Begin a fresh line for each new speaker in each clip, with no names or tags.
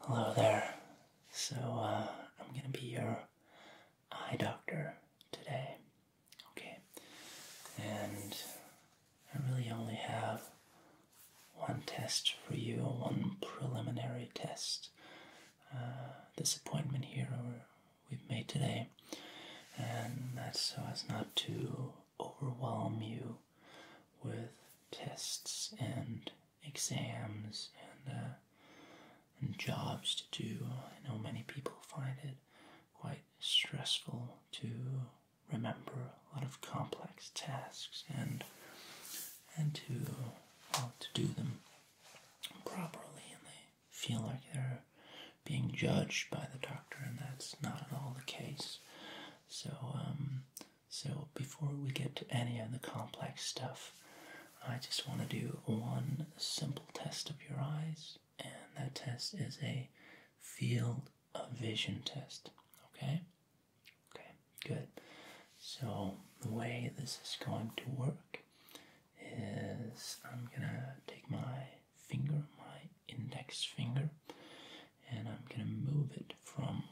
Hello there. So, uh, I'm gonna be your eye doctor today. Okay. And I really only have one test for you, one preliminary test. Uh, this appointment here we've made today, and that's so as not to overwhelm you with tests and exams uh, and, jobs to do. I know many people find it quite stressful to remember a lot of complex tasks and and to to do them properly, and they feel like they're being judged by the doctor, and that's not at all the case. So, um, so before we get to any of the complex stuff, I just want to do one simple test of your eyes, and that test is a field of vision test. Okay? Okay, good. So, the way this is going to work is I'm gonna take my finger, my index finger, and I'm going to move it from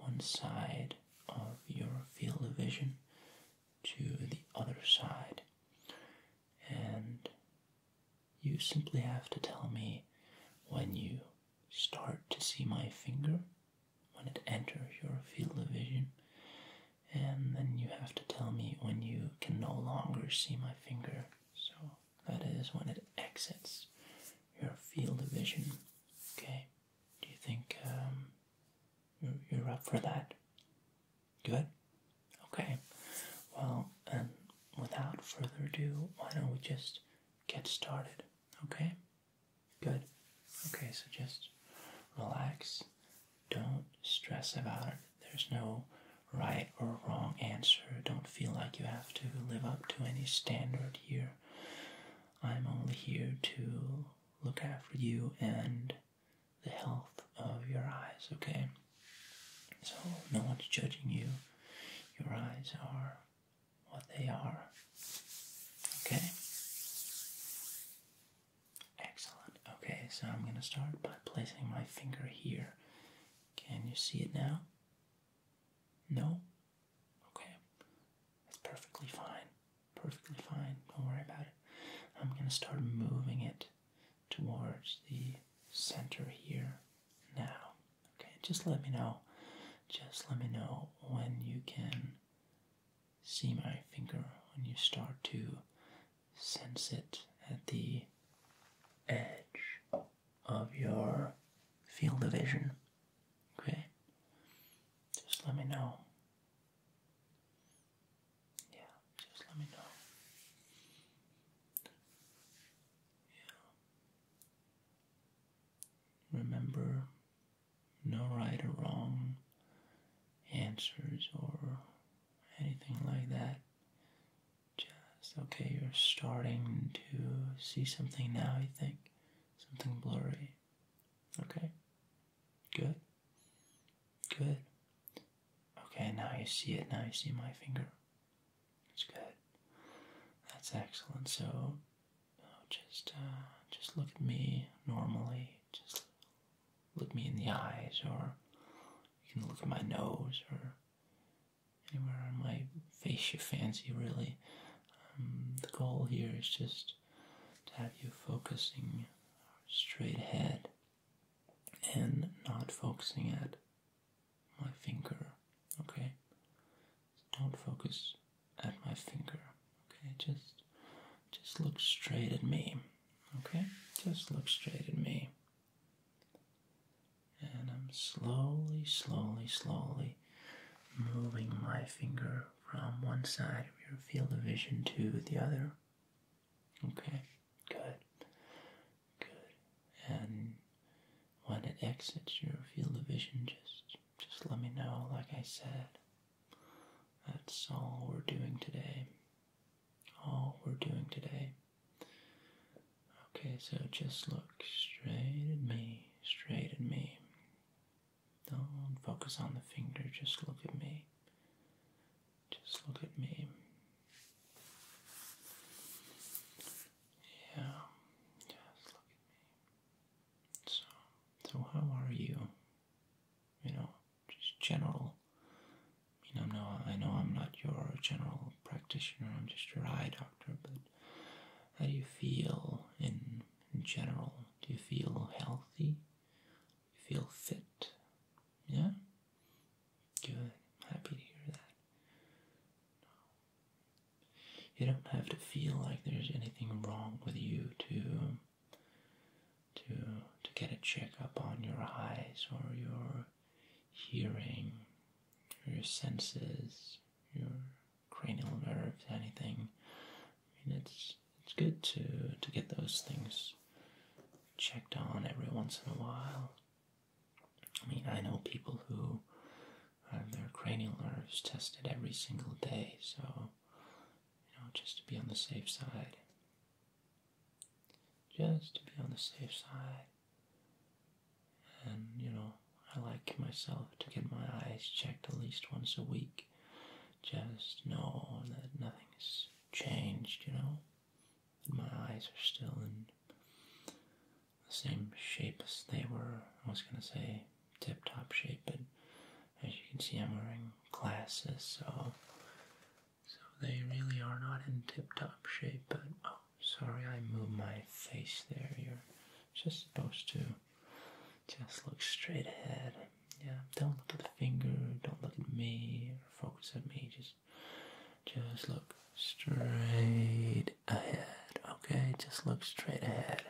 one side of your field of vision to the other side. And you simply have to tell me when you start to see my finger, when it enters your field of vision, and then you have to tell me when you can no longer see my finger. So that is when it exits your field of vision. Okay, do you think um, you're, you're up for that? Good? Okay, well, and without further ado, why don't we just get started? Okay? Good. Okay, so just relax. Don't stress about it. There's no right or wrong answer. Don't feel like you have to live up to any standard here. I'm only here to look after you and the health of your eyes, okay? So no one's judging you. Your eyes are what they are. Okay? Excellent. Okay, so I'm going to start by placing my finger here. Can you see it now? No? Okay. That's perfectly fine. Perfectly fine. Don't worry about it. I'm going to start moving it towards the center here now. Okay, just let me know. Just let me know when you can see my finger, when you start to sense it at the edge of your field of vision. Okay? Just let me know. Yeah, just let me know. Yeah. Remember, no right or wrong answers or anything like that. Just okay, you're starting to see something now, I think. Something blurry. Okay. Good. Good. Okay, now you see it. Now you see my finger. It's good. That's excellent. So, oh, just uh, just look at me normally. Just look me in the eyes, or you can look at my nose, or anywhere on my face you fancy, really. Um, the goal here is just to have you focusing straight ahead and not focusing at my finger, okay? don't focus at my finger, okay? Just just look straight at me, okay? Just look straight at me. And I'm slowly, slowly, slowly moving my finger from one side of your field of vision to the other. Okay, good, good. And when it exits your field of vision, just just let me know, like I said. That's all we're doing today. All we're doing today. Okay, so just look straight at me, straight at me. Don't focus on the finger, just look at me. Just look at me. Yeah, just look at me. So, so how are you? You know, just general I mean, i know I'm not your general practitioner, I'm just your eye doctor, but how do you feel in, general? Do you feel healthy? you feel fit? Yeah? Good. Happy to hear that. You don't have to feel like there's anything wrong with you to to to get a checkup on your eyes or your hearing, your senses, your cranial nerves, anything. I mean, it's it's good to to get those things checked on every once in a while. I mean, I know people who have their cranial nerves tested every single day, so you know, just to be on the safe side. Just to be on the safe side. And, you know, I like myself to get my eyes checked at least once a week. Just know that nothing's changed, you know? That my eyes are still in the same shape as they were. I was gonna say tip top shape, but as you can see, I'm wearing glasses, so so they really are not in tip-top shape, but oh, sorry, I moved my face there. You're just supposed to just look straight ahead. Yeah, don't look at the finger, don't look at me, focus at me. Just, just look straight ahead. Okay, just look straight ahead.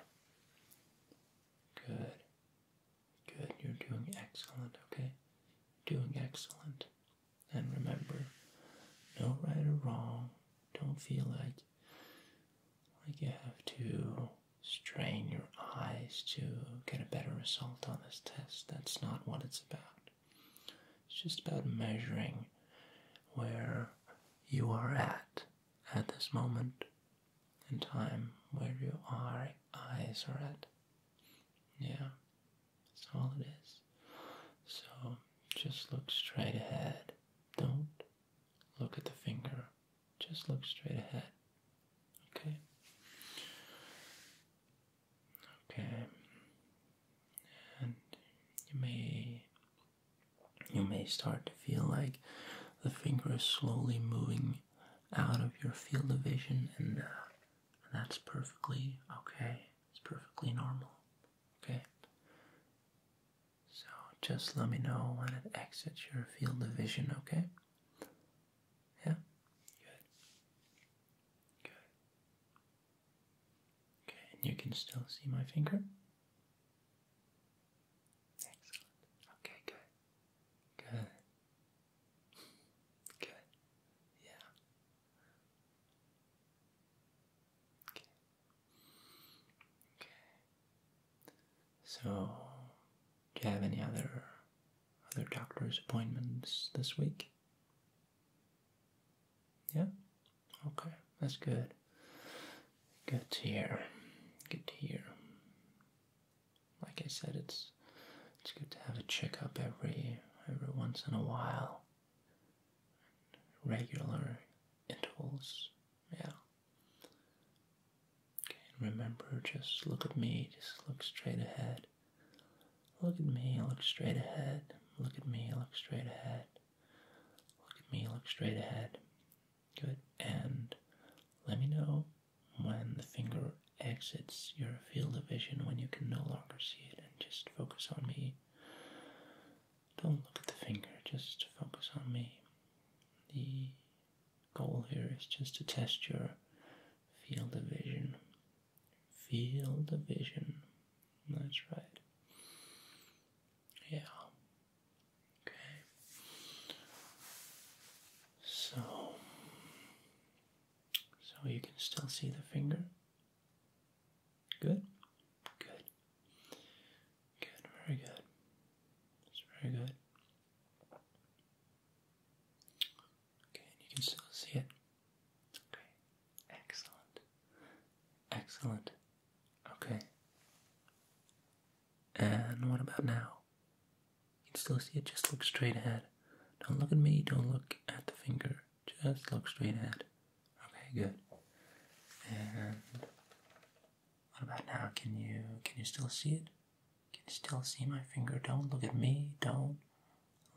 Good. Good, you're doing excellent, okay? Doing excellent. And remember, no right or wrong. Don't feel like like you have to strain your eyes to get a better result on this test. That's not what it's about. It's just about measuring where you are at at this moment in time, where your eyes are at. Yeah. That's all it is. So just look straight ahead. Don't look at the finger. Just look straight ahead. Okay? Okay. And you may you may start to feel like the finger is slowly moving out of your field of vision and uh, that's perfectly okay. It's perfectly normal. Okay? So just let me know when it exits your field of vision, okay? Yeah? Good. Good. Okay, and you can still see my finger? Excellent. Okay, good. Good. Good. Yeah. Okay. Okay. So, do you have any other other doctor's appointments this week? Yeah. Okay, that's good. Good to hear. Good to hear. Like I said, it's it's good to have a checkup every every once in a while. Regular intervals, yeah. Okay, and remember, just look at me, just look straight ahead. Look at me, look straight ahead. Look at me, look straight ahead. Look at me, look straight ahead. Good. And let me know when the finger exits your field of vision when you can no longer see it, and just focus on me. Don't look at the finger, just focus on me. The goal here is just to test your field of vision. Field of vision. That's right. Yeah. Okay. So, so you can still see the finger. Good? Good. Good, very good. It's very good. Okay, you can still see it. Okay, excellent. Excellent. Okay. And what about now? You can still see it, just look straight ahead. Don't look at me, don't look at the finger. Just look straight ahead. Okay, good. And what about now? Can you can you still see it? Can you still see my finger? Don't look at me. Don't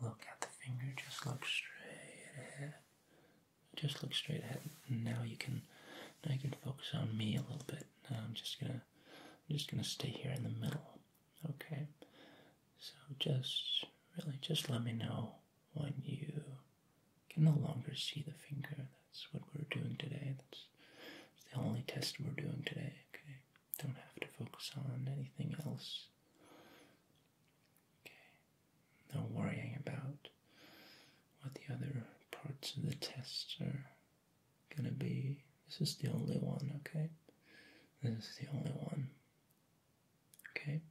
look at the finger. Just look straight ahead. Just look straight ahead. Now you can now you can focus on me a little bit. Now I'm just gonna I'm just gonna stay here in the middle. Okay, so just really just let me know when you can no longer see the finger. That's what we're doing today. That's, the only test we're doing today. Okay, don't have to focus on anything else. Okay, no worrying about what the other parts of the test are gonna be. This is the only one, okay? This is the only one. Okay?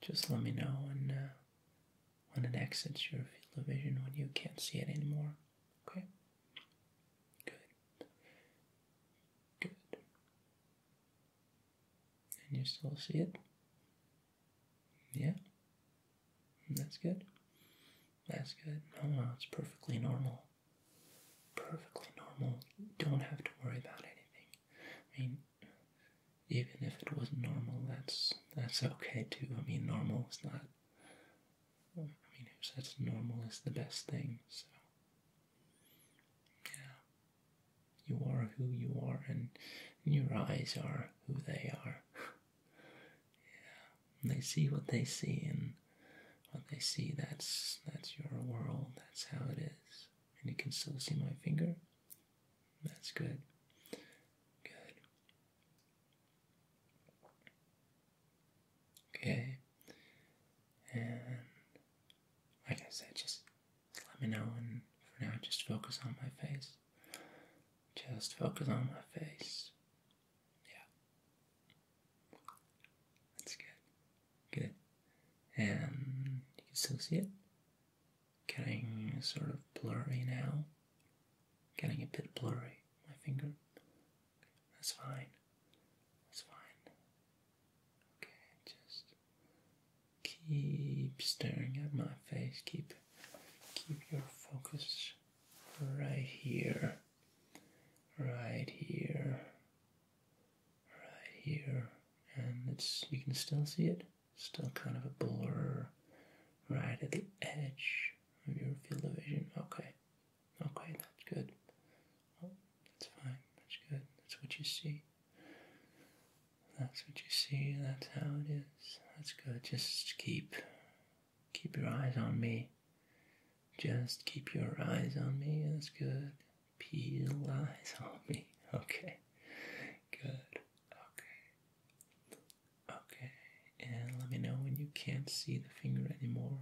Just let me know when, uh, when it exits your field of vision, when you can't see it anymore. Okay? Good. Good. And you still see it? Yeah? That's good. That's good. Oh, no, it's perfectly normal perfectly normal. don't have to worry about anything. I mean, even if it was normal, that's that's okay too. I mean, normal is not. I mean, who says normal is the best thing? So, yeah, you are who you are, and your eyes are who they are. yeah, they see what they see, and what they see that's that's your world, that's how it is. And you can still see my finger. That's good. Good. Okay. And like I said, just let me know and for now just focus on my face. Just focus on my face. Yeah. That's good. Good. And you can still see it? Getting sort of blurry now. Getting a bit blurry, my finger. That's fine. That's fine. Okay, just keep staring at my face. Keep keep your focus right here. Right here right here, and it's you can still see it. Still kind of a blur right at the edge of your field of vision. Okay, okay, that's good. Oh, that's fine. That's good. That's what you see. That's what you see. That's how it is. That's good. Just keep keep your eyes on me. Just keep your eyes on me. That's good. Peel eyes on me. Okay. Good. Okay. Okay. And let me know when you can't see the finger anymore.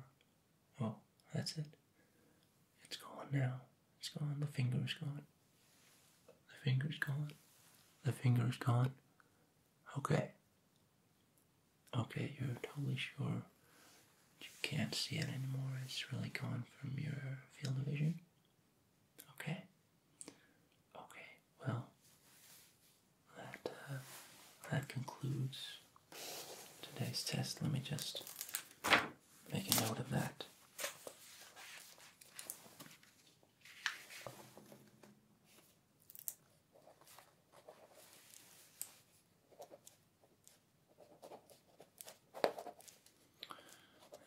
Oh, that's it. It's gone now. It's gone. The finger's gone. The finger's gone. The finger's gone. Okay. Okay, you're totally sure you can't see it anymore. It's really gone
from your field of vision.
Okay. Okay. Well, that uh, that concludes today's test. Let me just make a note of that.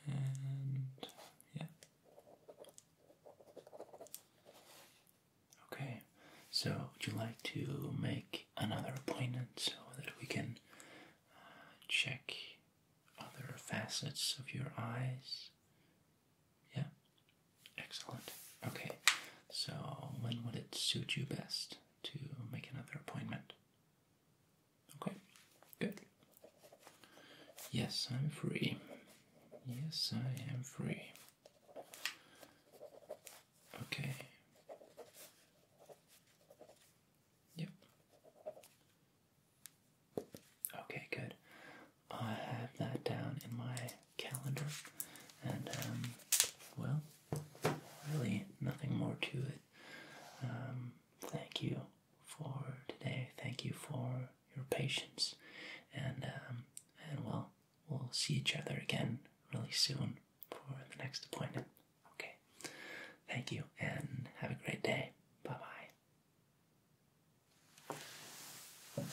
And yeah. Okay, so would you like to make another appointment so that we can uh, check other facets of your eyes? Yeah? Excellent. Okay, so when would it suit you best? to make another appointment. Okay, good. Yes, I'm free. Yes, I am free. Okay. Yep. Okay, good. I have that down in my calendar, and um, well, really nothing more to it. Um, thank you for today. Thank you for your patience, and um, and well, we'll see each other again really soon for the next appointment. Okay. Thank you, and have a great day. Bye bye.